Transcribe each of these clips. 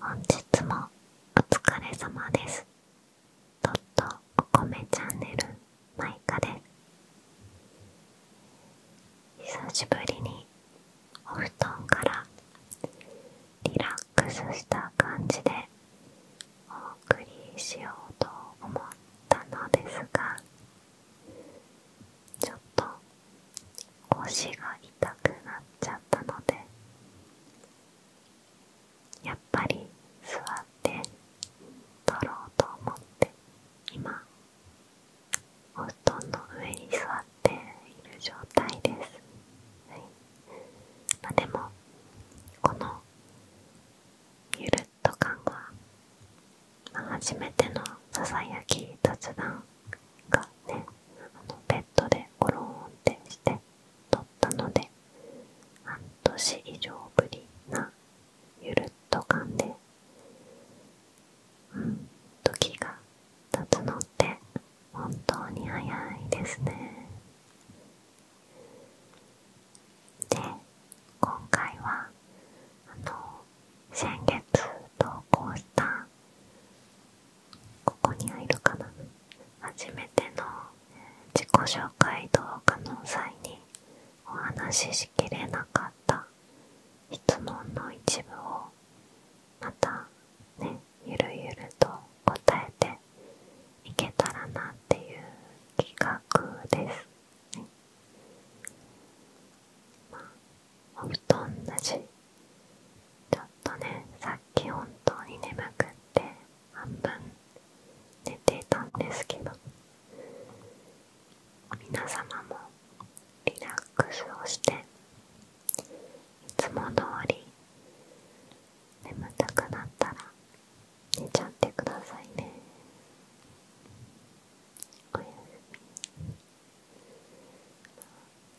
本日もお疲れ様です。とっとお米チャンネルマイカで久しぶりにお布団からリラックスした感じでお送りしようと思ったのですがちょっと腰が痛くなっちゃったのでやっぱり座って撮ろうと思って今お布団の上に座っている状態です、でもこのゆるっト感が、初めてのささやき雑談がねあのベッドでゴロンってして撮ったので半年以上ぶりなゆるっと感で、うん、時が経つのって本当に早いですね。で今回は先月投稿したここにはいるかな初めての自己紹介動画の際にお話ししきれなかった質問の一部をまたねゆるゆると答えていけたらなっていう企画です、はいまあ、お布団ちょっとねさっき本当に眠くって半分寝てたんですけど皆様もリラックスをしていつも通り眠たくなったら寝ちゃってくださいね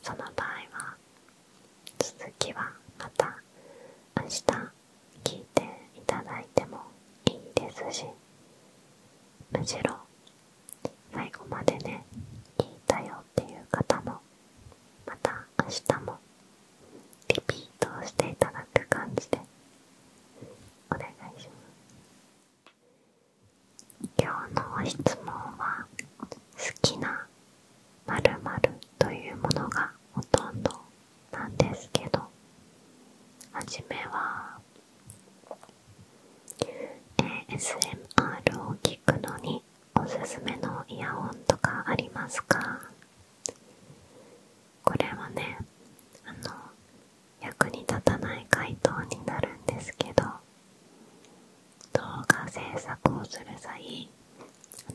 その場合は続きはまた明日聞いていただいてもいいですしむしろ最後までね聞いたよっていう方もまた明日もリピートしていただく感じでお願いします今日の質問は好きな○○というものがほとんどなんですけど初めは ASMR を聞くのにおすすめのイヤホンとかありますかこれはねあの役に立たない回答になるんですけど動画制作をする際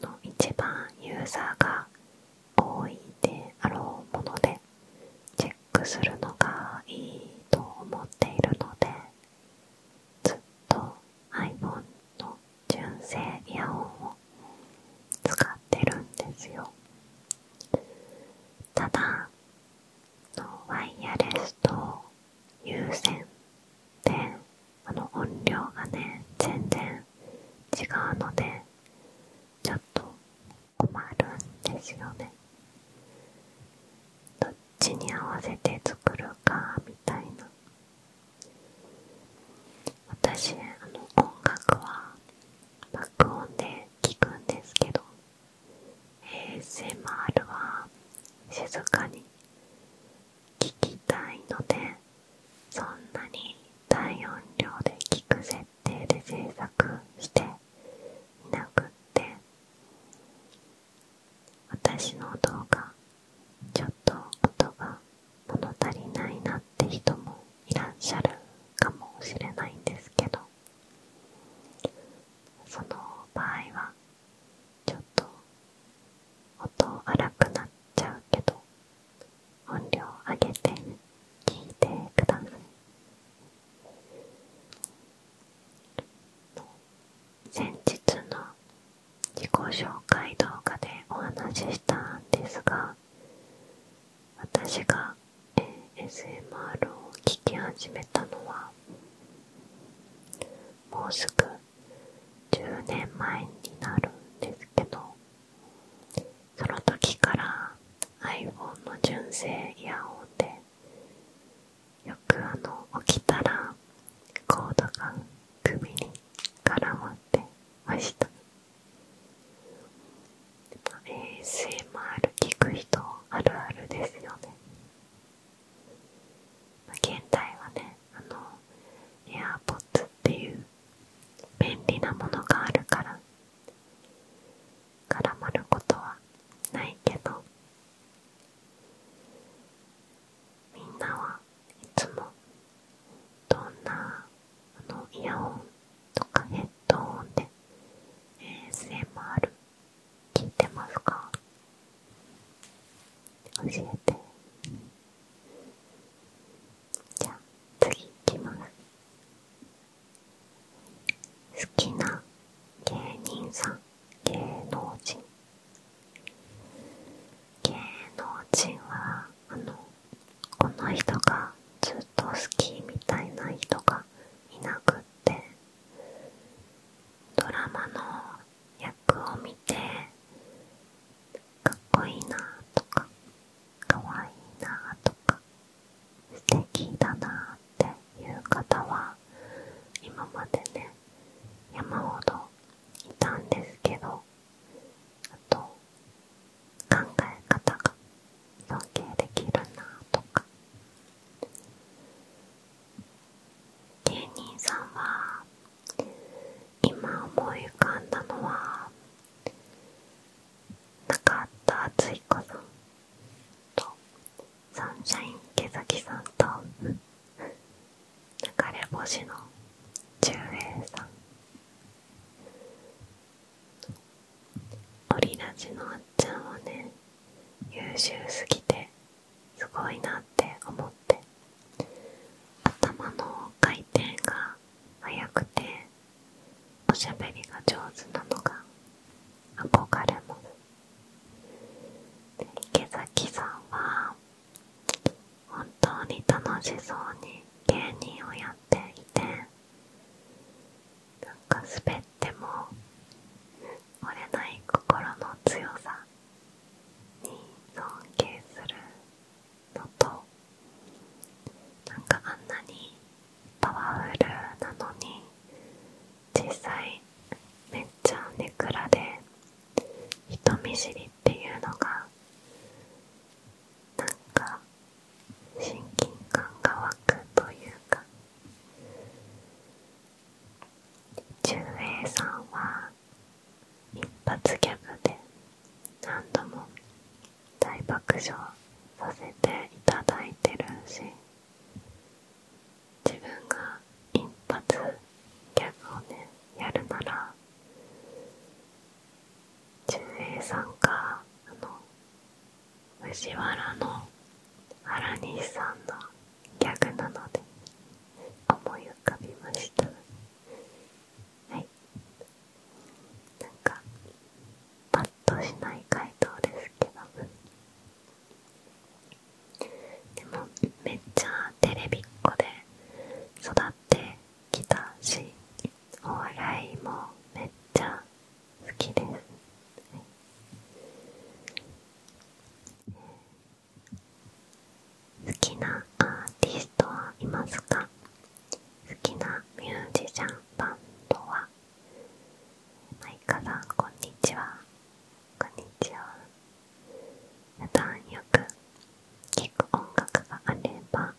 あの一番ユーザーが多いであろうものでチェックするのがいいと思っているのでずっと iPhone の純正イヤホンを使ってるんですよただワイヤレスと有線であの音量がね全然違うのでちょっと困るんですよねどっちに合わせて作るかみたいな私あの音楽は爆音で聞くんですけど ASMR は静かに聞きたいのでそんなに大音量で聞く設定で制作していなくって私の動画ちょっと音が物足りないなって人もいらっしゃるかもしれないんですけどその場合はちょっと音荒くなっちゃうけど音量上げて聞いてください先日の自己紹介動画でお話ししたんですが私が ASMR を聞き始めたのはもうすぐ10年前になるんですけどその時から iPhone の純正イヤホンでよくあの起きたらコードが首に絡まって。っました、まあ、ASMR 聞くあるあるですよね、まあ、現代はねあのエア r p o d っていう便利なものがあるから絡まることはないけどみんなはいつもどんなあのイヤホンとかヘッドホンで ASMR 聞いてますか教えてじゃ次いきます好きな芸人さん芸能人芸能人はあのこの人がずっと好きみたいな人がいなくってドラマの役を見てかっこいいなとかかわいいなとか素敵だなっていう方は今までね山ほどいたんですけどあと考え方が尊敬できるなとか芸人さんは今思い浮かんだのはった敦彦さんとサンシャイン池崎さんと流れ星の中栄さんオリラジのあっちゃんはね優秀すぎてすごいなって思って頭の回転が速くておしゃべりが上手なのが憧れもの。池崎さんは本当に楽しそうに芸人をやっていてなんか滑っても折れない心の強さに尊敬するのとなんかあんなにパワフルなのに実際めっちゃネクラで人見知りっていうのがなんか親近感が湧くというか忠英さんは一発ギャグで何度も大爆笑させていただいてるし自分が一発ギャグをねやるなら純英さんがあの藤原の原西さんのギャグなので思い浮かびましたはいなんかパッとしない回答ですけどでもめっちゃテレビっ子で育って。ってたしお笑いもめっちゃ好きです、好きなアーティストはいますか好きなミュージシャンバンドはマイカさんこんにちはこんにちは普段よく聴く音楽があれば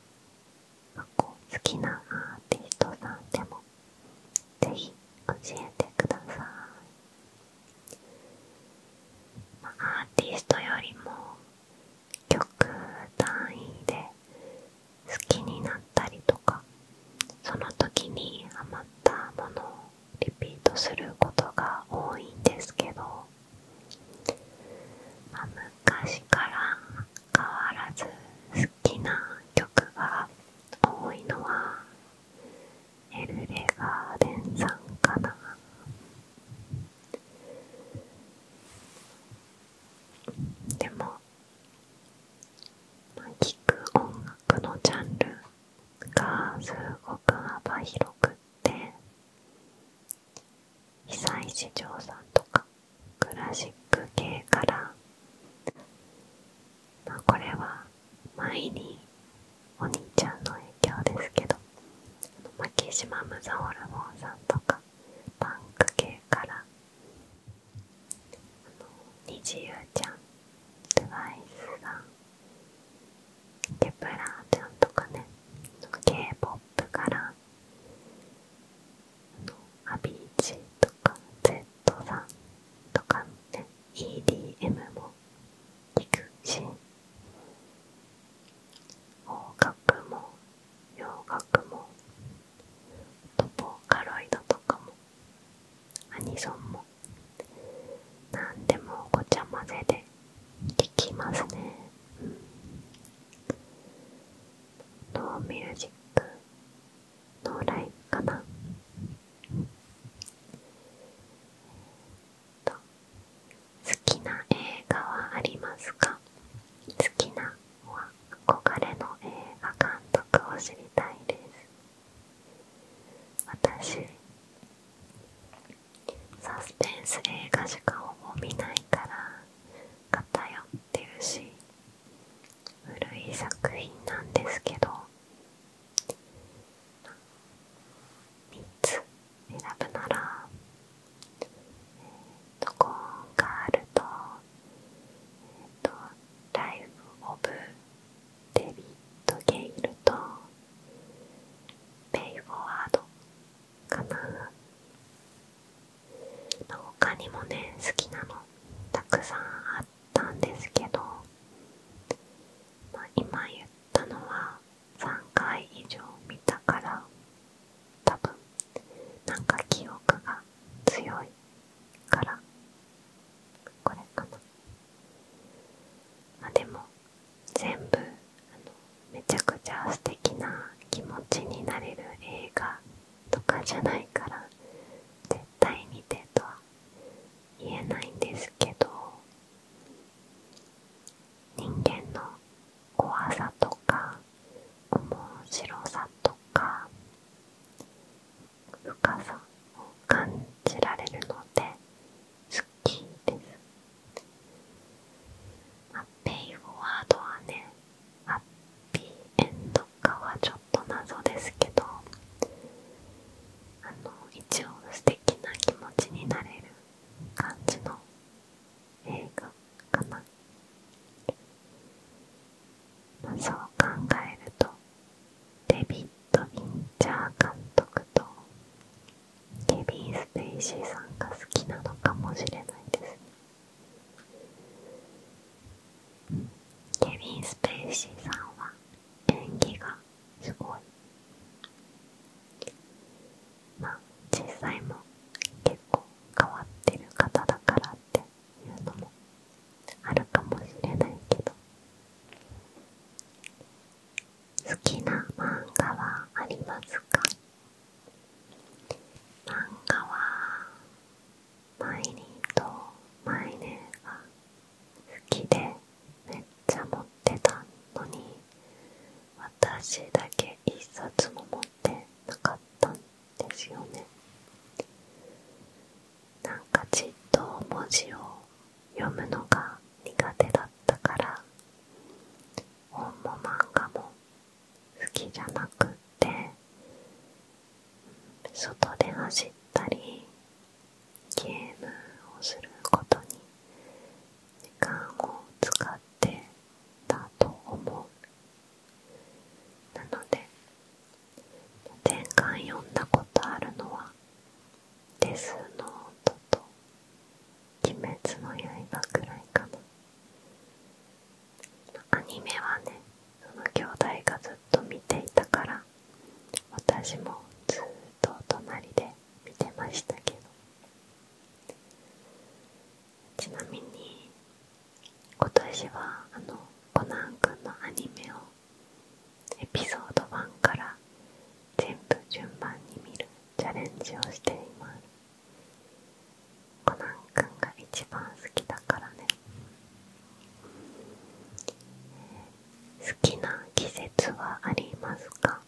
好きなアーティストさんでもぜひ教えてください、アーティストよりも曲単位で好きになったりとかその時に余ったものをリピートすることが多いんですけど昔から変わらず好きな曲が多いのはエルレガーデンさんかなでも、ま聴く音楽のジャンルがすごく幅広くっって久石譲さんとかクラシック系から、まあ、これは前にお兄ちゃんの影響ですけど牧島ムザホルモンさんとかパンク系からあの虹ゆうちゃん twice さんケプラーちゃんとかね K-POP からアビーチとか Z さんとかのね EDM も聴くし邦楽も洋楽もとボーカロイドとかもアニソンもなんでもごちゃ混ぜでできますね、うノーミュージックのーラインかな好きな映画はありますか好きなは憧れの映画監督を知りたいです私サスペンス映画しかほぼ見ないから偏ってるし古い作品なんですけど3つ選ぶならえっ、ー、とコーンガールとえっ、ー、とライフ・オブ・デビッド・ゲイルとペイフォワードかな他にもね好きなのたくさんあったんですけど、まあ、今言ったのは3回以上見たから多分なんか記憶が強いからこれかなあでも全部めちゃくちゃ素敵な気持ちになれる映画とかじゃないから絶対見てとは言えないんですけど人間の怖さとか面白さとか深さを感じられるのですきです。まあ、ペイフォワードはね、ハッピーエンドかはちょっと謎ですけど、あの、一応素敵な気持ちになれる感じの映画かな。まあ、そう考えると、デビッド・ヴィンチャー監督とケビン・ステイシーさんが好きなのかもしれないですケビン・ステイシーさんは演技がすごいまあ実際も結構変わってる方だからっていうのもあるかもしれないけど好きな漫画はありますか漫画は毎日と毎年。が好きでめっちゃ持ってたのに私だけ一冊も持ってなかったんですよねなんかじっと文字を読むのが苦手だったから本も漫画も好きじゃなくって外で走ったりゲームをすることに時間を使ってたと思うなので前回読んだことあるのはデスノートと鬼滅の刃くらいかなアニメはねその兄弟がずっと見ていたから私もずっと隣で見てましたけどちなみに今年はあのコナン君のアニメをエピソード1から全部順番に見るチャレンジをしていますコナンくんが一番好きだからね好きな季節はありますか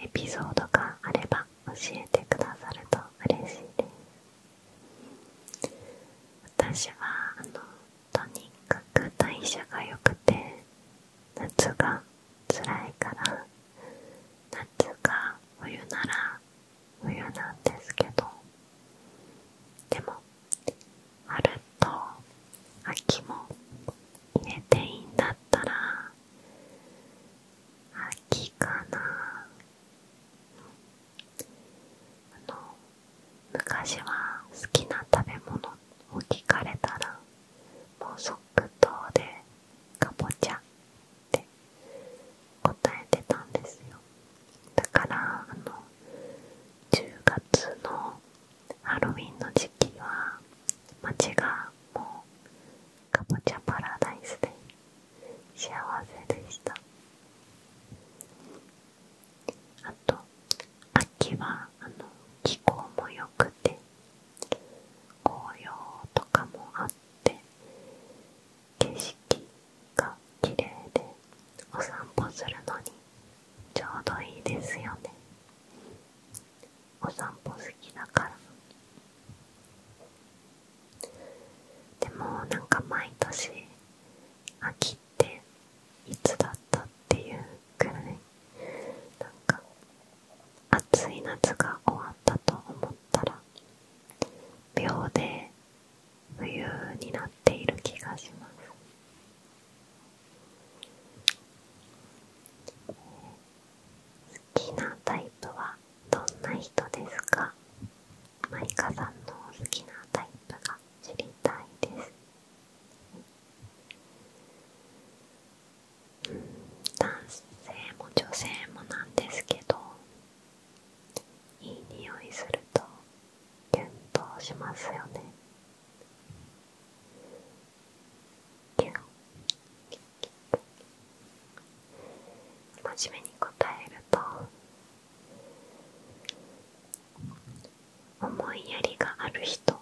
エピソードがあれば教えてくださると嬉しいです私はあのとにかく代謝が良くて夏がつらいから夏が冬なら冬なんですけどでも春と秋も入れていいんだったら秋かなあの昔は好きな食べ物を聞かれたらもう即答でカボチャって答えてたんですよだからあの10月のハロウィンの時期は街がもうカボチャパラダイスで幸せでしたあと秋はあの気候も良くて紅葉とかもあって景色が綺麗でお散歩するのにちょうどいいですよねお散歩好きだからでもなんか毎年秋っていつだったっていうかか暑い夏が終わったと思ったら秒で冬になっている気がします好きなタイプはどんな人ですかマイカさんの好きなタイプが知りたいです男性も女性もなんですけどいい匂いするとキュンとしますよねキュン真面目に答えると思いやりがある人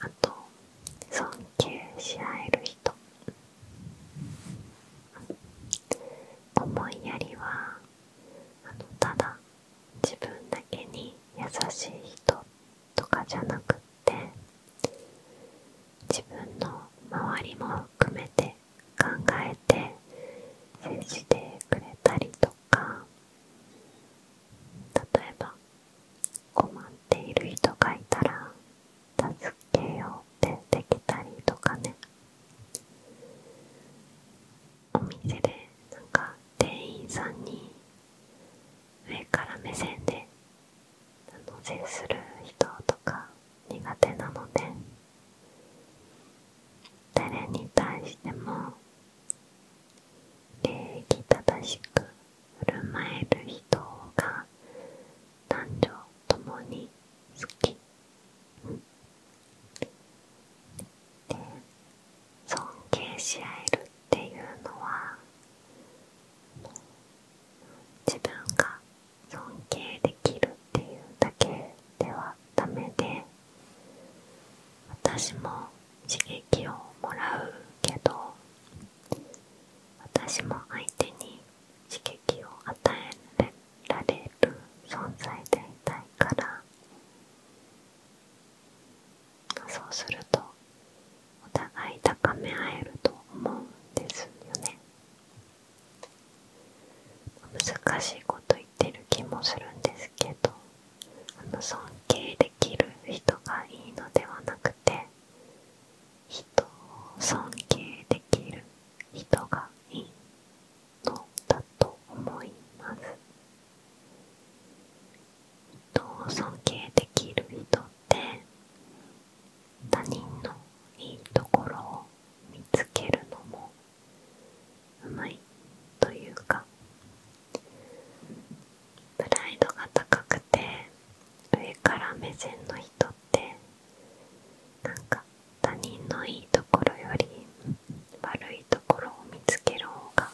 あと尊敬し合える人思いやりはただ自分だけに優しい人とかじゃなくって自分の周りも含めて考えて接してくれたりとか例えば困っている人がいたら助けようってできたりとかねお店でなんか店員さんに上から目線であの接する人とか苦手なので誰に対しても礼儀正しく振る舞える人が男女ともに好きで尊敬し合えるっていうのは自分が尊敬できるっていうだけではダメで私も刺激をもらうけど私も相手に刺激を与えられる存在でいたいからそうするとお互い高め合えると思うんですよね難しいこと言ってる気もするんですけど尊敬できる人がいいのではなくて人を尊敬できる人がいいのだと思います人を尊敬できる人って他人のいいところを見つけるのもうまいというかプライドが高くて上から目線の人ってなんか他人のいいところより悪いところを見つける方が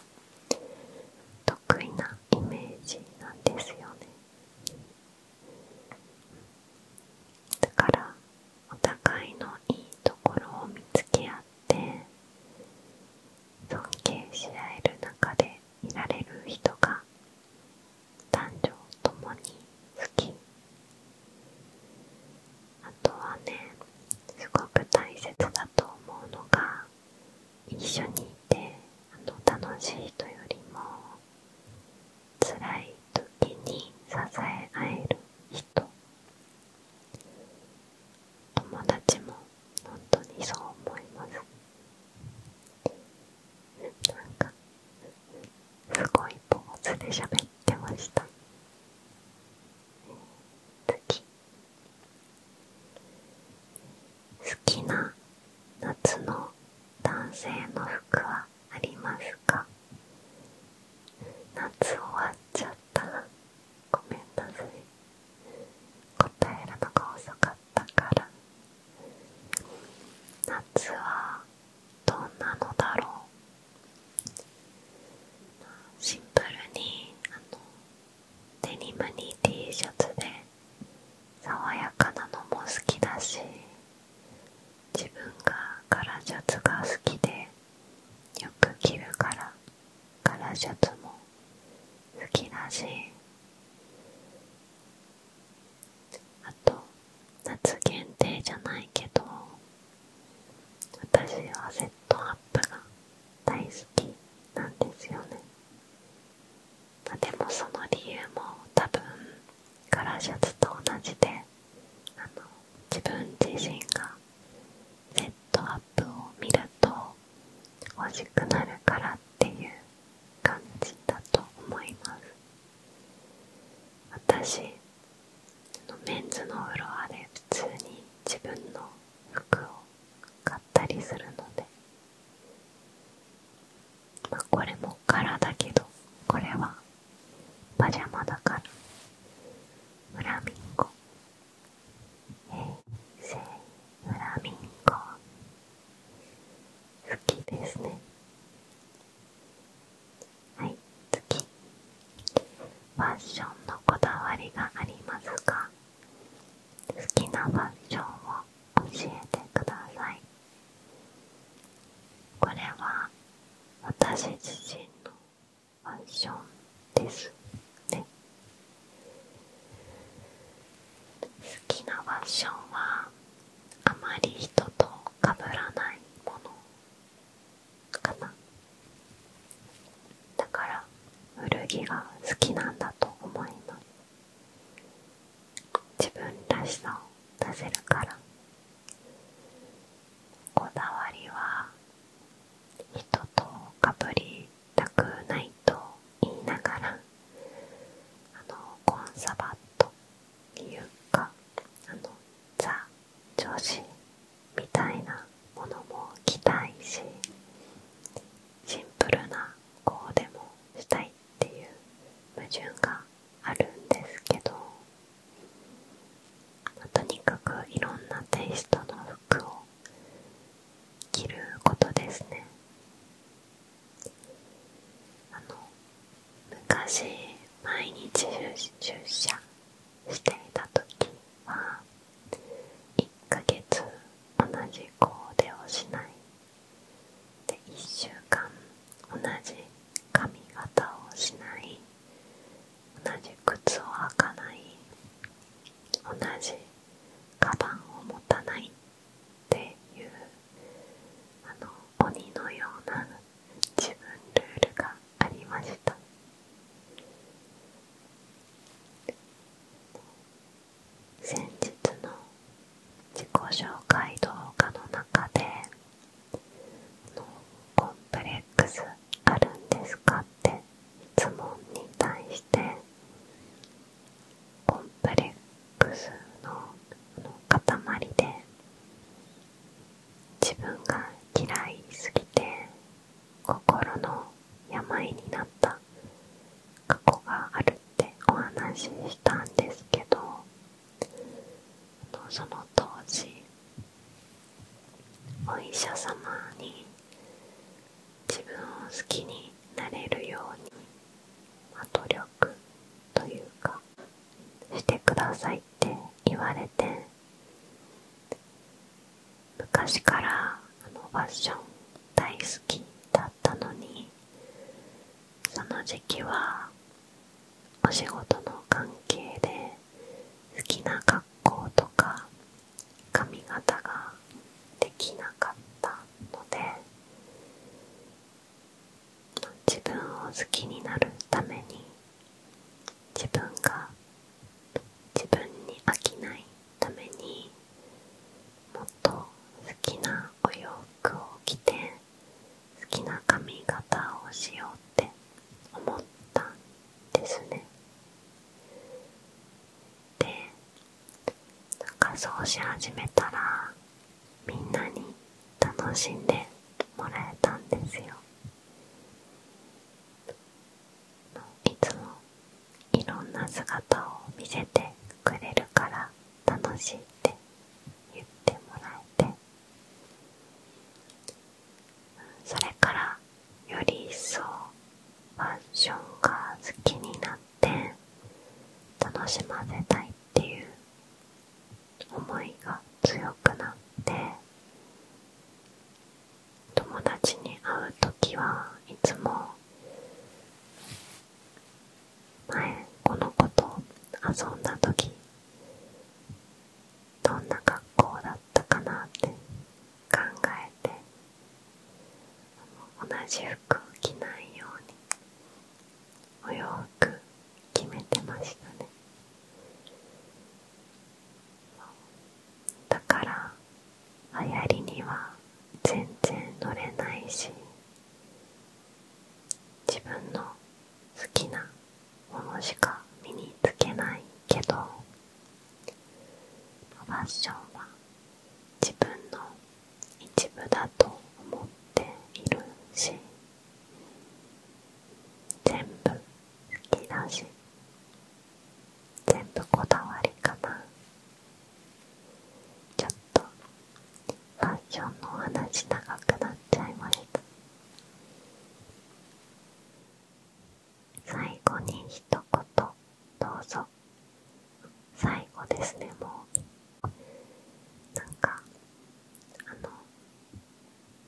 得意なイメージなんですよねだからお互いのいいところを見つけ合って尊敬し合える中でいられる人が男女ともに好きあとはねすごく大切だと思うのが一緒にいてあの楽しい人よりも辛い時に支え合える人友達も本当にそう思いますなんかすごいポーズで喋ってました好きな夏の男性の服はありますか夏終わっちゃっっごめんなさい答えるのが遅かったから夏はどんなのだろうシンプルにデニムに T シャツで爽やかなのも好きだし自分がカラーシャツが好きでよく着るからカラーシャツも好きだしあと夏限定じゃないけど私はセットアップが大好きなんですよね、まあ、でもその理由も多分カラーシャツと同じで自分自身がセットアップを見ると欲しくなるからっていう感じだと思います私メンズのフロアで普通に自分の服を買ったりするので、これも柄だけどこれはパジャマだからフラミンゴ平成フラミンゴ好きですねはい次ファッションのこだわりがありますか好きなファッションを教えてくださいこれは私自身のファッションですね好きなファッションはあまり人と被らないものかなだから古着が好きなんだと思います自分らしさを出せるからこだわりは人とかぶりたくないと言いながらコンサバというかザ女子みたいなものも着たいしシンプルなコーデもしたいっていう矛盾があるんですけどとにかくいろんなテイストの服を着ることですねあの昔毎日出社していた時は1ヶ月同じコーデをしないで1週間同じ髪型をしない同じ靴を履かない同じカバンを持たないっていうあの鬼のような自分ルールがありました先日の自己紹介動画の中でコンプレックスあるんですかっていつもに対してコンプレックスの塊で自分が嫌いすぎて心の病になった過去があるってお話ししたんですけどその当時お医者様に自分を好きになれるように、努力というかしてくださいって言われて昔からあのファッション大好きだったのにその時期はお仕事の関係で好きな格校とか髪型ができなかったので自分を好きになるために自分が自分に飽きないためにもっと好きなお洋服を着て好きな髪型をしようって思ったですねでなんし始めたらみんなに楽しんでもらえたんですよいつもいろんな姿を見せてくれるから楽しいって言ってもらえてそれからより一層ファッションが好きになって楽しませたいっていう思いが強くなって友達に会う時はいつも前この子と遊んだ時どんな格好だったかなって考えて同じ服を着ないようにお洋服決めてましたねだから流行りには全然乗れないし自分の好きなものしか身につけないけどファッションは自分の一部だと思っているし全部好きだし全部こだわりかなちょっとファッションの話長くなっちゃいました最後に一言どうぞ最後ですねもうなんかあの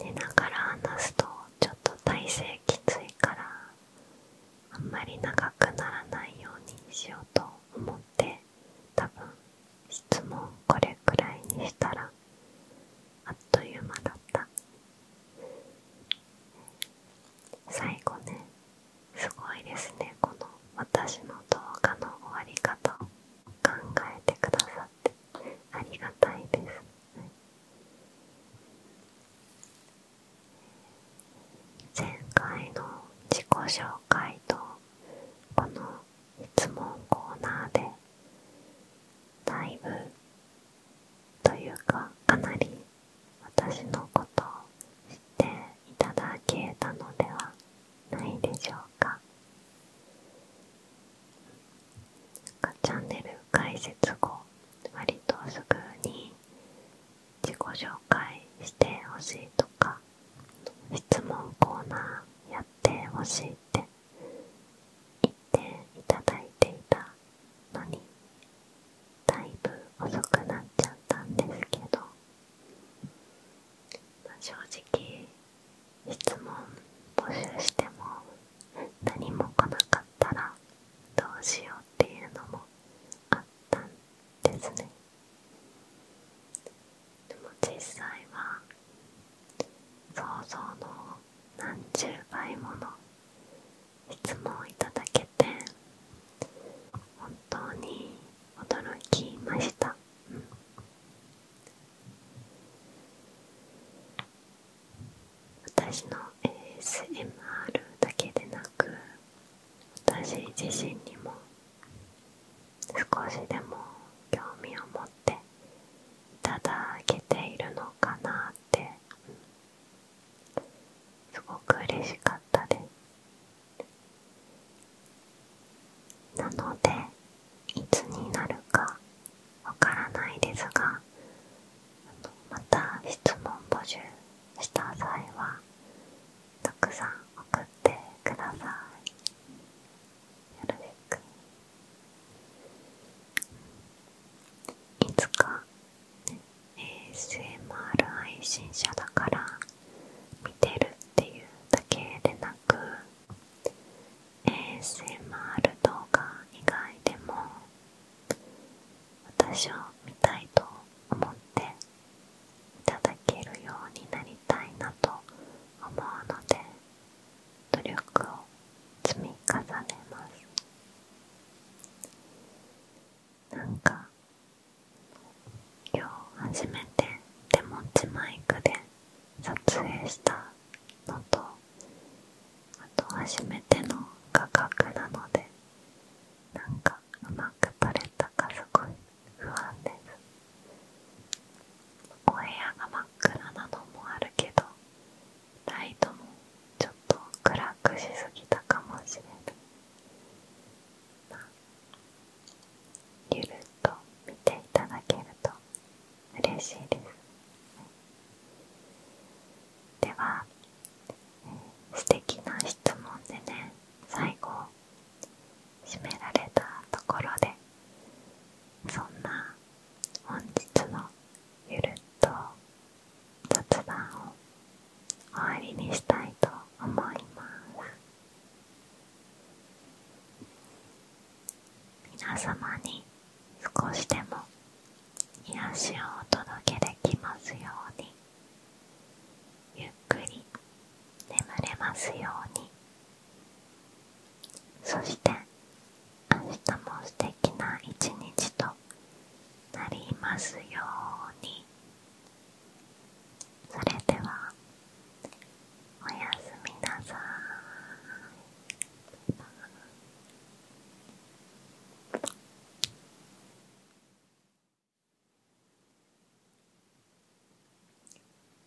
寝ながら話すとちょっと体勢きついからあんまり長くならないようにしようと思ってたぶん質問これくらいにしたらあっという間だった最後ねすごいですねこの私の動画の終わり方を考えてくださってありがたいです、前回の自己紹介とこの質問コーナーでだいぶというかかなり私のことを知っていただけたのではないでしょうか。チャンネル開設後割とすぐに自己紹介してほしいとか質問コーナーやってほしいって行っていただいていたのにだいぶ遅くなっちゃったんですけど、正直質問募集しても何も来なかったらどうしようっていうのもあったんですねでも実際は想像の何十倍もの質問をいただけて本当に驚きました、うん、私の ASMR だけでなく私自身にも少しでも興味を持ってただけているのかなってすごく嬉しかったですなのでいつになるかわからないですがまた質問募集した際はたくさん送ってくださいいつか、ASMR 配信者だから見てるっていうだけでなく ASMR 動画以外でも私を見たいと思っていただけるようになりたいなと思うので努力を積み重ねますなんか今日初めて手持ちマイクで撮影したのとあと初めての画角なのでなんかうまく撮れたかすごい不安ですお部屋が暗なのもあるけどライトもちょっと暗くしすぎたかもしれない、まあ、ゆるっと見ていただけると嬉しいですでは素敵な質問でね最後締められたところでそんな本日のゆるっと雑談を終わりにしたいと思います皆様に少しでも癒しをお届けできますようにゆっくり眠れますようにそして明日も素敵な一日となりますようにそれではおやすみなさいバイ